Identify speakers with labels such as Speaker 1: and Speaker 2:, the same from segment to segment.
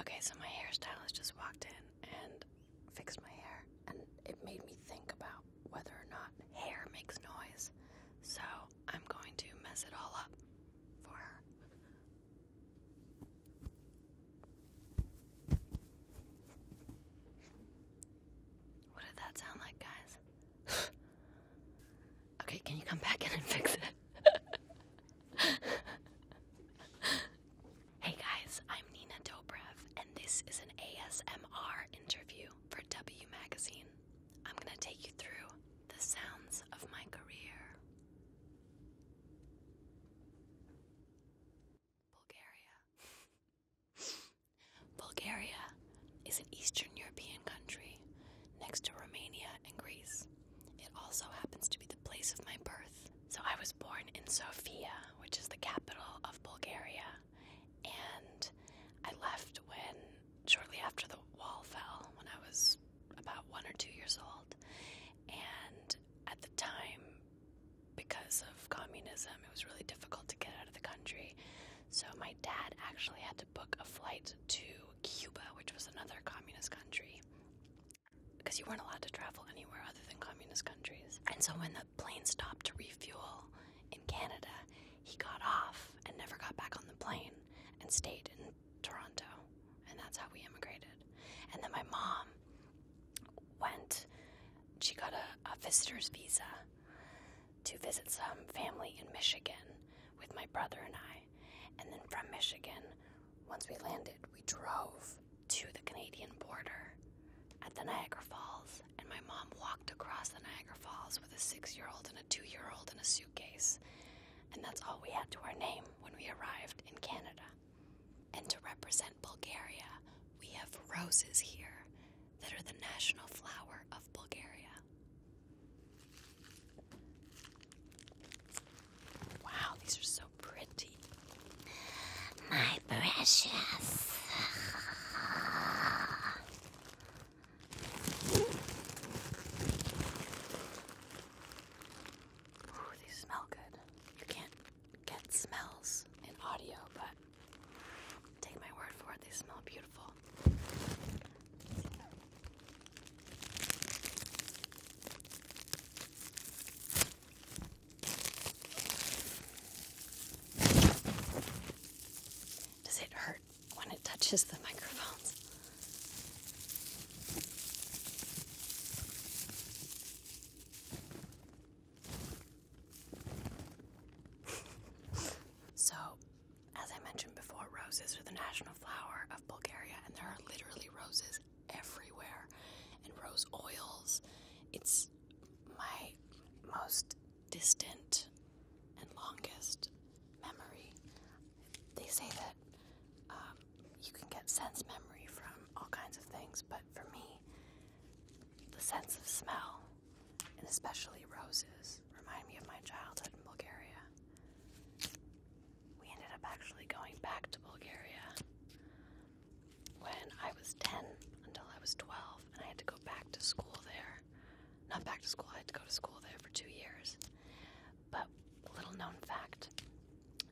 Speaker 1: Okay, so my hairstylist just walked in and fixed my hair, and it made me think about whether or not hair makes noise. So I'm going to mess it all up for her. What did that sound like, guys? okay, can you come back in and fix it? hey guys, I'm Nina Dobrev, and this is an ASMR interview for W Magazine. I'm gonna take you through the sounds of my career. Bulgaria. Bulgaria is an Eastern European country next to Romania and Greece. It also happens to be the place of my birth. So I was born in Sofia, which is the capital of Bulgaria, and I left when shortly after the wall fell when I was about 1 or 2 years old. And at the time because of communism, it was really difficult to get out of the country. So my dad actually had to book a flight to Cuba, which was another communist country because you weren't allowed to travel anywhere other than communist countries. And so when the plane stopped to refuel in Canada, he got off and never got back on the plane and stayed in Toronto. And that's how we immigrated. And then my mom went, she got a, a visitor's visa to visit some family in Michigan with my brother and I. And then from Michigan, once we landed, we drove to the Canadian border at the Niagara Falls, and my mom walked across the Niagara Falls with a six year old and a two year old in a suitcase. And that's all we had to our name when we arrived in Canada. And to represent Bulgaria, we have roses here that are the national flower of Bulgaria. Wow, these are so pretty. My precious. Ooh, these smell good. You can't get smells in audio, but take my word for it, they smell beautiful. Does it hurt when it touches the microphones? so, as I mentioned before, roses are the national flower of Bulgaria, and there are literally roses everywhere, and rose oils. It's my most distant and longest memory. They say that um, you can get sense memory from all kinds of things, but for me, the sense of smell, and especially roses, remind me of my childhood in Bulgaria we ended up actually going back to Bulgaria when I was 10 until I was 12, and I had to go back to school there. Not back to school, I had to go to school there for two years. But, little known fact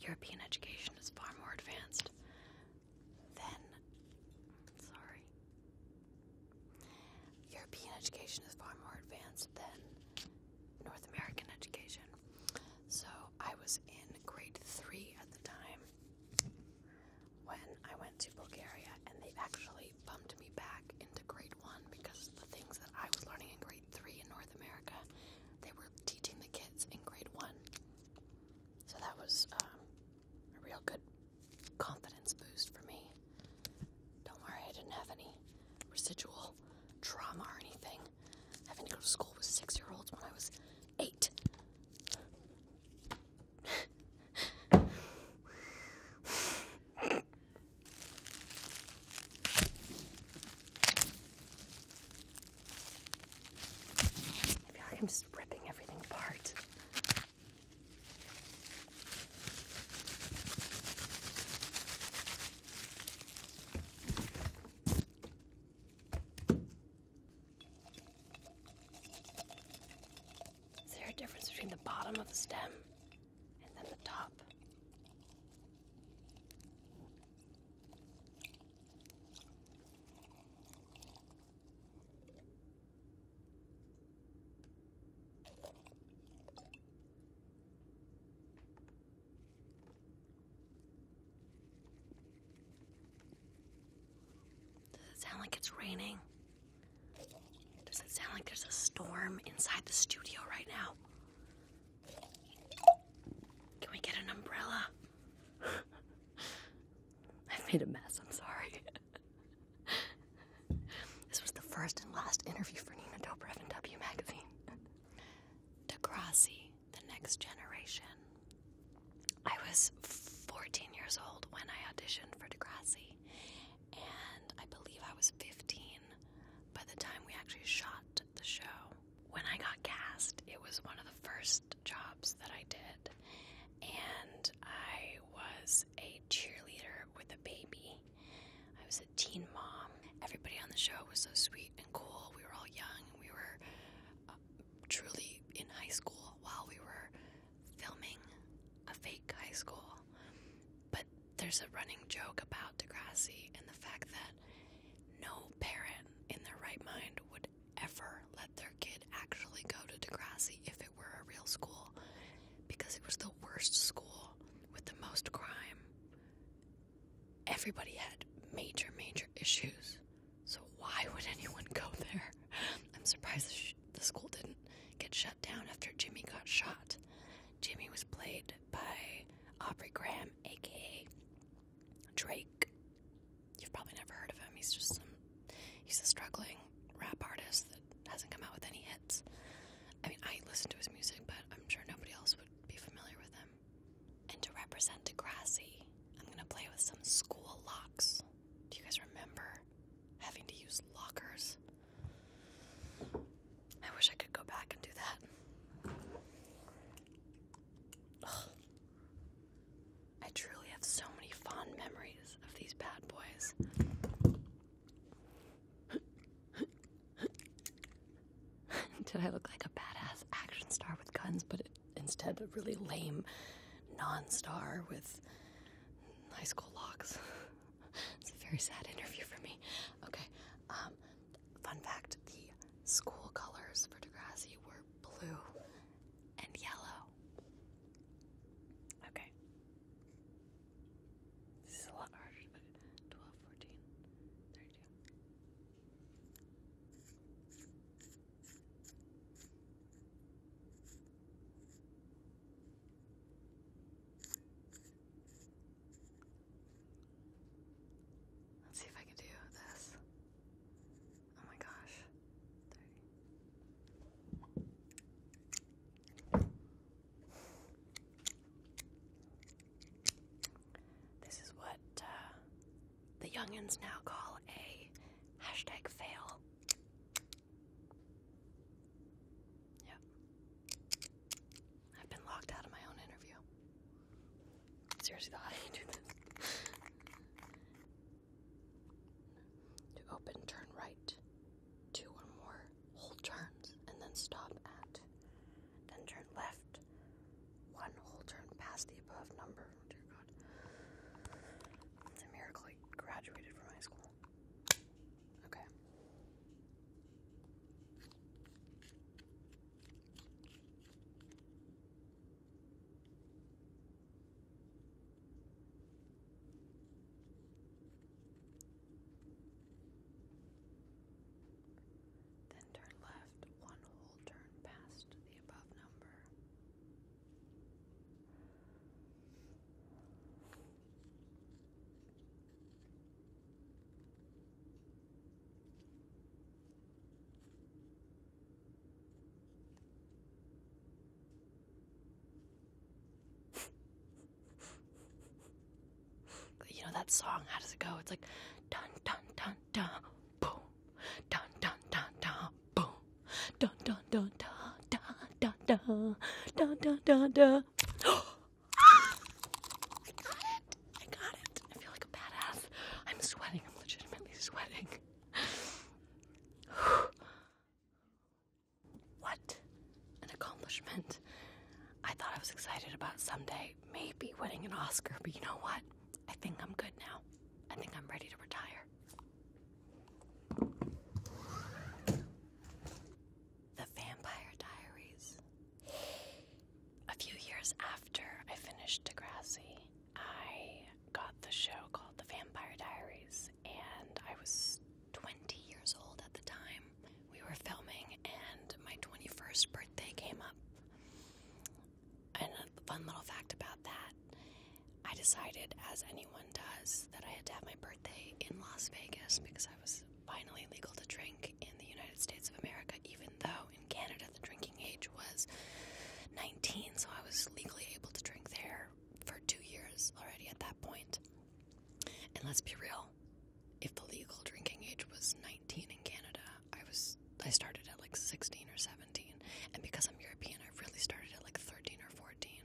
Speaker 1: European education is far more advanced than. Sorry. European education is far more advanced than North American education. So I was in grade three at the time when I went to Bulgaria, and they actually bumped me back into grade one because the things that I was learning in grade three in North America, they were teaching the kids in grade one. So that was um, a real good confidence boost for me. Don't worry, I didn't have any residual trauma or anything. Having to go to school with six year olds when I was eight. I am just ripping everything apart. Is there a difference between the bottom of the stem and then the top? Does it sound like it's raining? Does it sound like there's a storm inside the studio right now? Can we get an umbrella? I've made a mess, I'm sorry. This was the first and last interview for Nina Dobrev in W Magazine. Degrassi, The Next Generation. I was 14 years old when I auditioned for Degrassi, and I believe I was 15 by the time we actually shot the show. When I got cast, it was one of the first jobs that I did, and I was a cheerleader with a baby I was a teen mom. Everybody on the show was so sweet and cool. We were all young. We were uh, truly in high school while we were filming a fake high school. But there's a running joke about Degrassi and the fact that no parent in their right mind would ever let their kid actually go to Degrassi if it were a real school because it was the worst school with the most crime. Everybody had major, major issues. So why would anyone go there? I'm surprised the school didn't get shut down after Jimmy got shot. Jimmy was played by Aubrey Graham, aka Drake. You've probably never heard of him. He's just some, he's a struggling rap artist hasn't come out with any hits. I mean, I listen to his music, but I'm sure nobody else would be familiar with him. And to represent Degrassi, I'm gonna play with some school locks. Do you guys remember having to use lockers? I wish I could go back and do that. I truly have so many fond memories of these bad boys. Did I look like a badass action star with guns, but instead a really lame non star with high school locks? it's a very sad interview for me. Okay, um, fun fact the school colors for Degrassi were blue and yellow. Okay, this is a lot harder. 12, 14, Let's see if I can do this. Oh my gosh. This is what uh, the youngins now call a hashtag fail. Yep. I've been locked out of my own interview. Seriously, how do you do this? To open, turn right two or more whole turns and then stop at. Then turn left one whole turn past the above number. Oh, dear God. It's a miracle I graduated from high school. Okay. Then turn left one whole turn past the above number. You know that song? How does it go? It's like dun dun dun dun boom, dun dun dun dun boom, dun dun dun dun dun dun dun dun dun dun. I got it! I got it! I feel like a badass. I'm sweating. I'm legitimately sweating. What an accomplishment. I thought I was excited about someday maybe winning an Oscar, but you know what? I think I'm good now. I think I'm ready to retire. The Vampire Diaries. A few years after I finished Degrassi, I got the show called The Vampire Diaries and I was 20 years old at the time. We were filming, and my 21st birthday came up. And a fun little fact about that I decided, as anyone does, that I had to have my birthday in Las Vegas because I was finally legal to drink in the United States of America, even though in Canada the drinking age was 19, so I was legally able to drink there for two years already at that And let's be real, if the legal drinking age was 19 in Canada, I was I started at like 16 or 17, and because I'm European, I really started at like 13 or 14.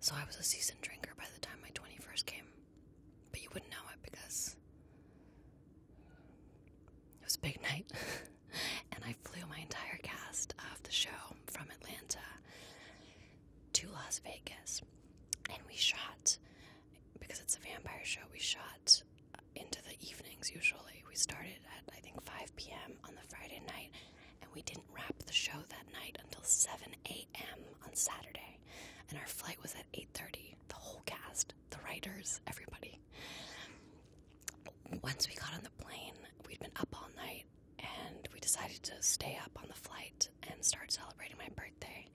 Speaker 1: So I was a seasoned drinker by the time my 21st came. But you wouldn't know it because it was a big night. and I flew my entire cast of the show from Atlanta to Las Vegas. And we shot, because it's a vampire show, we shot into the evenings usually. We started at, I think, 5 p.m. on the Friday night, and we didn't wrap the show that night until 7 a.m. on Saturday. And our flight was at 8.30. The whole cast, the writers, everybody. Once we got on the plane, we'd been up all night and we decided to stay up on the flight and start celebrating my birthday.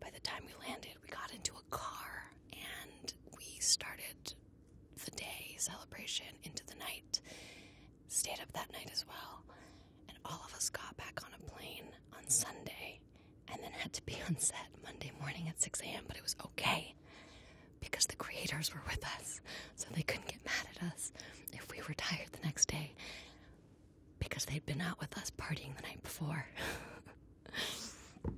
Speaker 1: By the time we landed, we got into a car and we started the day celebration into the night. Stayed up that night as well. And all of us got back on a plane on Sunday and then had to be on set Monday morning at 6 a.m., but it was okay because the creators were with us, so they couldn't get mad at us if we were tired the next day because they'd been out with us partying the night before.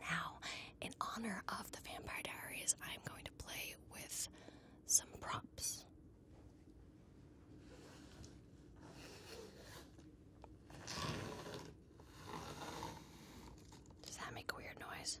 Speaker 1: now, in honor of the Vampire Diaries, I'm going to play with some props. Does that make weird noise?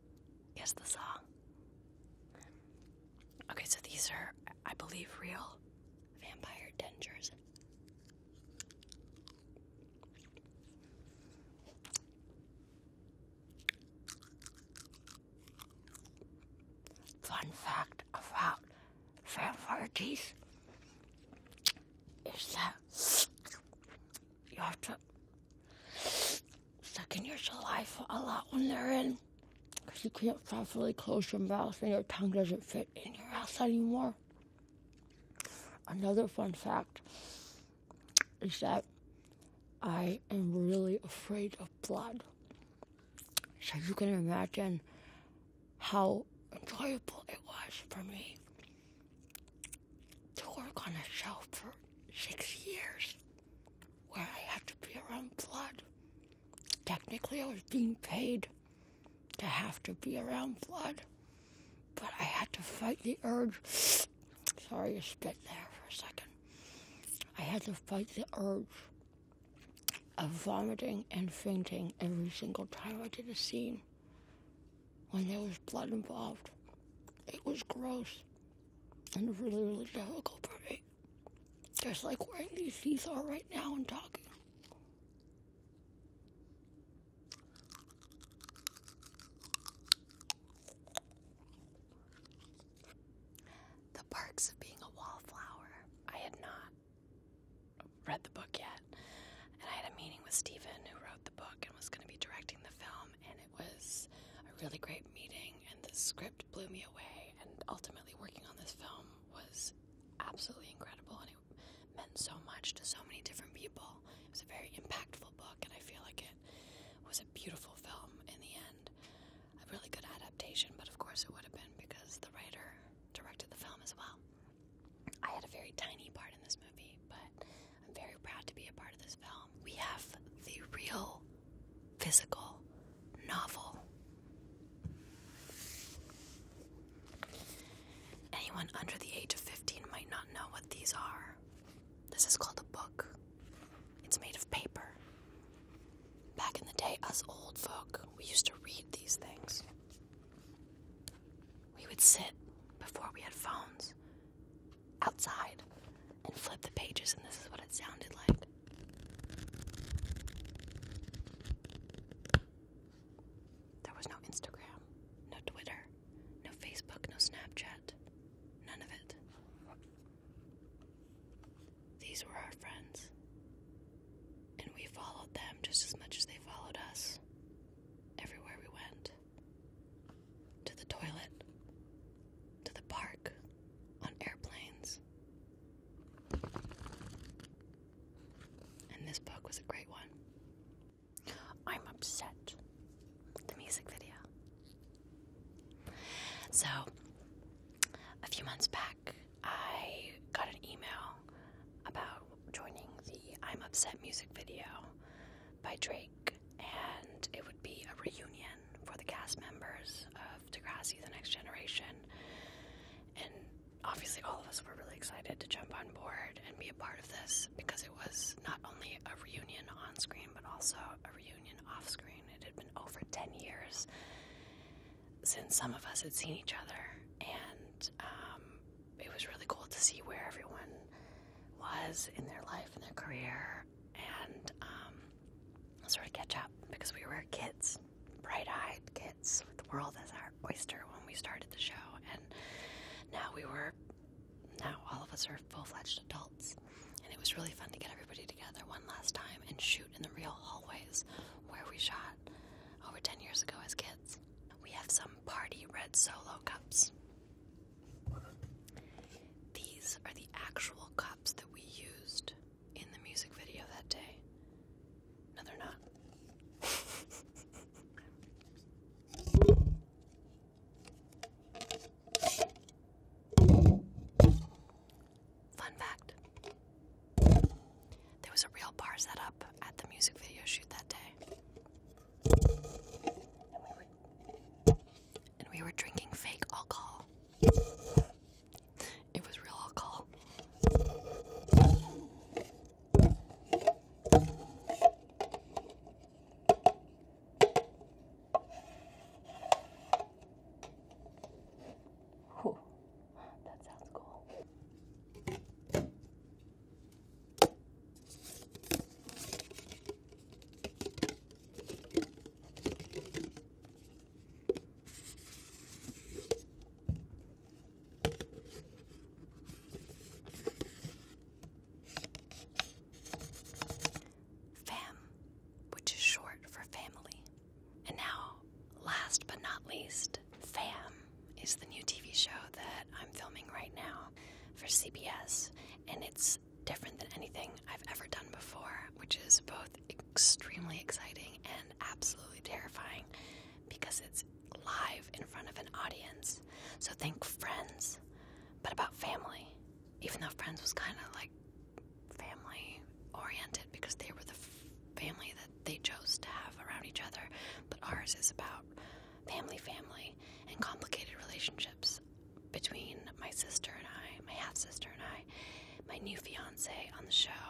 Speaker 1: is the song. Okay, so these are, I believe, real vampire dentures. Fun fact about vampire teeth is that you have to sucking your saliva a lot when they're in because you can't properly close your mouth and your tongue doesn't fit in your mouth anymore. Another fun fact is that I am really afraid of blood. So you can imagine how enjoyable it was for me to work on a show for six years where I had to be around blood. Technically, I was being paid to have to be around blood, but I had to fight the urge. Sorry, you spit there for a second. I had to fight the urge of vomiting and fainting every single time I did a scene when there was blood involved. It was gross and really, really difficult for me. Just like wearing these teeth are right now and talking. The perks of being a wallflower. I had not read the book yet, and I had a meeting with Stephen, who wrote the book and was going to be directing the film um, and it was a really great meeting. And the script blew me away. And ultimately, working on this film was absolutely incredible, and it meant so much to so many different people. It was a very impactful book, and I feel like it was a beautiful film in the end. A really good adaptation, but of course it would have been because the writer directed the film as well. I had a very tiny part in this movie, but I'm very proud to be a part of this film. We have the real physical novel. Anyone under the age of 15 might not know what these are. This is called a book. It's made of paper. Back in the day, us old folk, we used to read these things. We would sit before we had phones outside and flip the pages, and this is what it sounded like. There was no Instagram, no Twitter, no Facebook, no Snapchat, none of it. These were our friends, and we followed them just as much as they followed us everywhere we went to the toilet, to the park, on airplanes. And this book was a great one. I'm upset. The music video. So, a few months back, I got an email about joining the I'm Upset music video by Drake, and it would be a reunion for the cast members of Degrassi The Next Generation. And obviously, all of us were really excited to jump on board and be a part of this because it was not only a reunion on screen, but also a reunion off screen. It had been over 10 years since some of us had seen each other, and um, it was really cool to see where everyone was in their life and their career and um, sort of catch up because we were kids, bright eyed kids with the world as our oyster when we started the show. And now we were, now all of us are full fledged adults. And it was really fun to get everybody together one last time and shoot in the real hallways where we shot over 10 years ago as kids. We have some party red solo cups these are the actual cups that we used in the music video that day. No, they're not. Fun fact there was a real bar set up at the music video shoot that day. And we were, drinking fake alcohol. It was real alcohol. That sounds cool. Fam, which is short for family. And now, last but not least, fam is the new TV show that I'm filming right now for CBS, and it's different than anything I've ever done before, which is both extremely exciting and absolutely terrifying because it's live in front of an audience. So think friends, but about family. Even though Friends was kind of like family oriented because they were the family that they chose to have around each other, but ours is about family, family, and complicated relationships between my sister and I, my half sister and I, my new fiance on the show,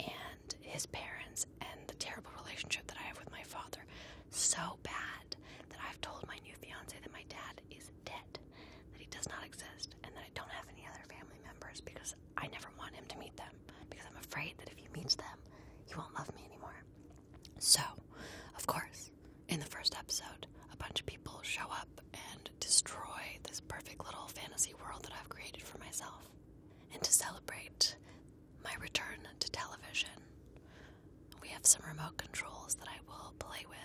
Speaker 1: and his parents, and the terrible relationship that I have with my father. So bad that I've told my new fiance that my dad is dead, that he does not exist, and that I don't have any other family members because I never want him to meet them because I'm afraid that if he meets them, he won't love me anymore. So, of course, in the first episode, a bunch of people show up and destroy this perfect little fantasy world that I've created for myself. And to celebrate my return to television, we have some remote controls that I will play with.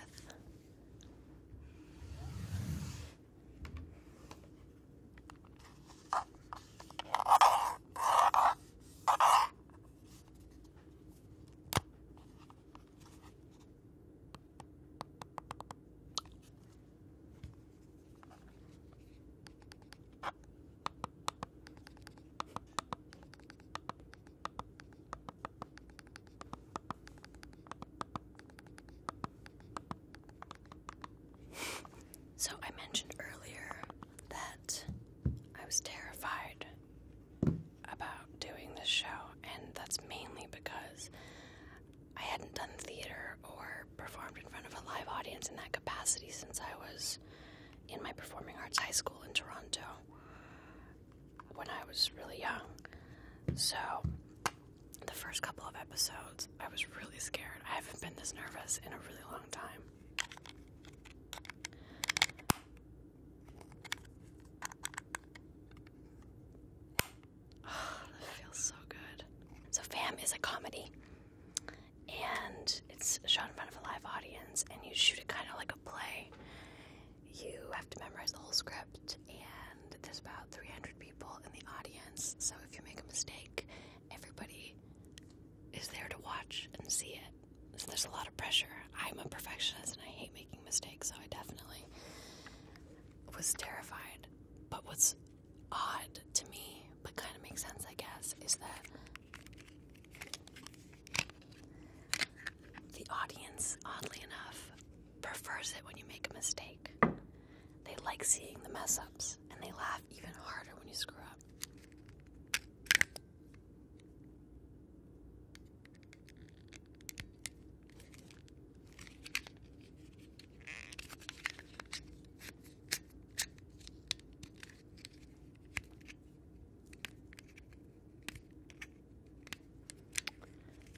Speaker 1: So, I mentioned earlier that I was terrified about doing this show, and that's mainly because I hadn't done theater or performed in front of a live audience in that capacity since I was in my performing arts high school in Toronto when I was really young. So, the first couple of episodes, I was really scared. I haven't been this nervous in a really long time that feels so good. So, Fam is a comedy, and it's shot in front of a live audience, and you shoot it kind of like a play. You have to memorize the whole script, and there's about 300 people in the audience. So, if you make a mistake, everybody is there to watch and see it. So there's a lot of pressure. I'm a perfectionist and I hate making mistakes, so I definitely was terrified. But what's odd to me, but kind of makes sense, I guess, is that the audience, oddly enough, prefers it when you make a mistake. They like seeing the mess ups and they laugh even harder when you screw up up.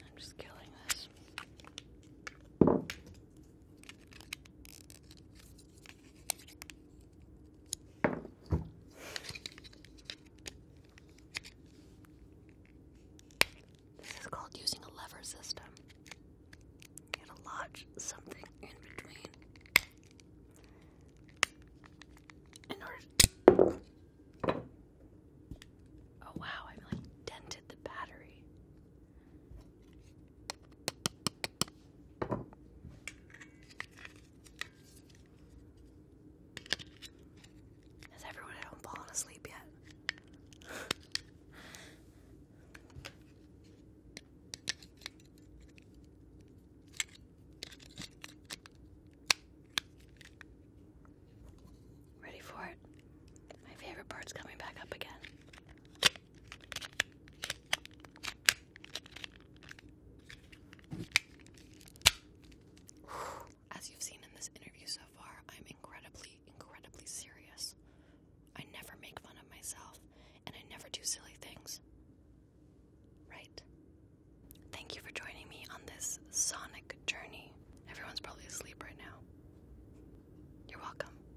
Speaker 1: I'm just killing this. This is called using a lever system. You gotta lodge something in between Oh wow! I like dented the battery. Has everyone fallen asleep yet? Ready for it? My favorite part's coming back up again. As you've seen in this interview so far, I'm incredibly, incredibly serious. I never make fun of myself, and I never do silly things. Right? Thank you for joining me on this sonic journey. Everyone's probably asleep right now. You're welcome.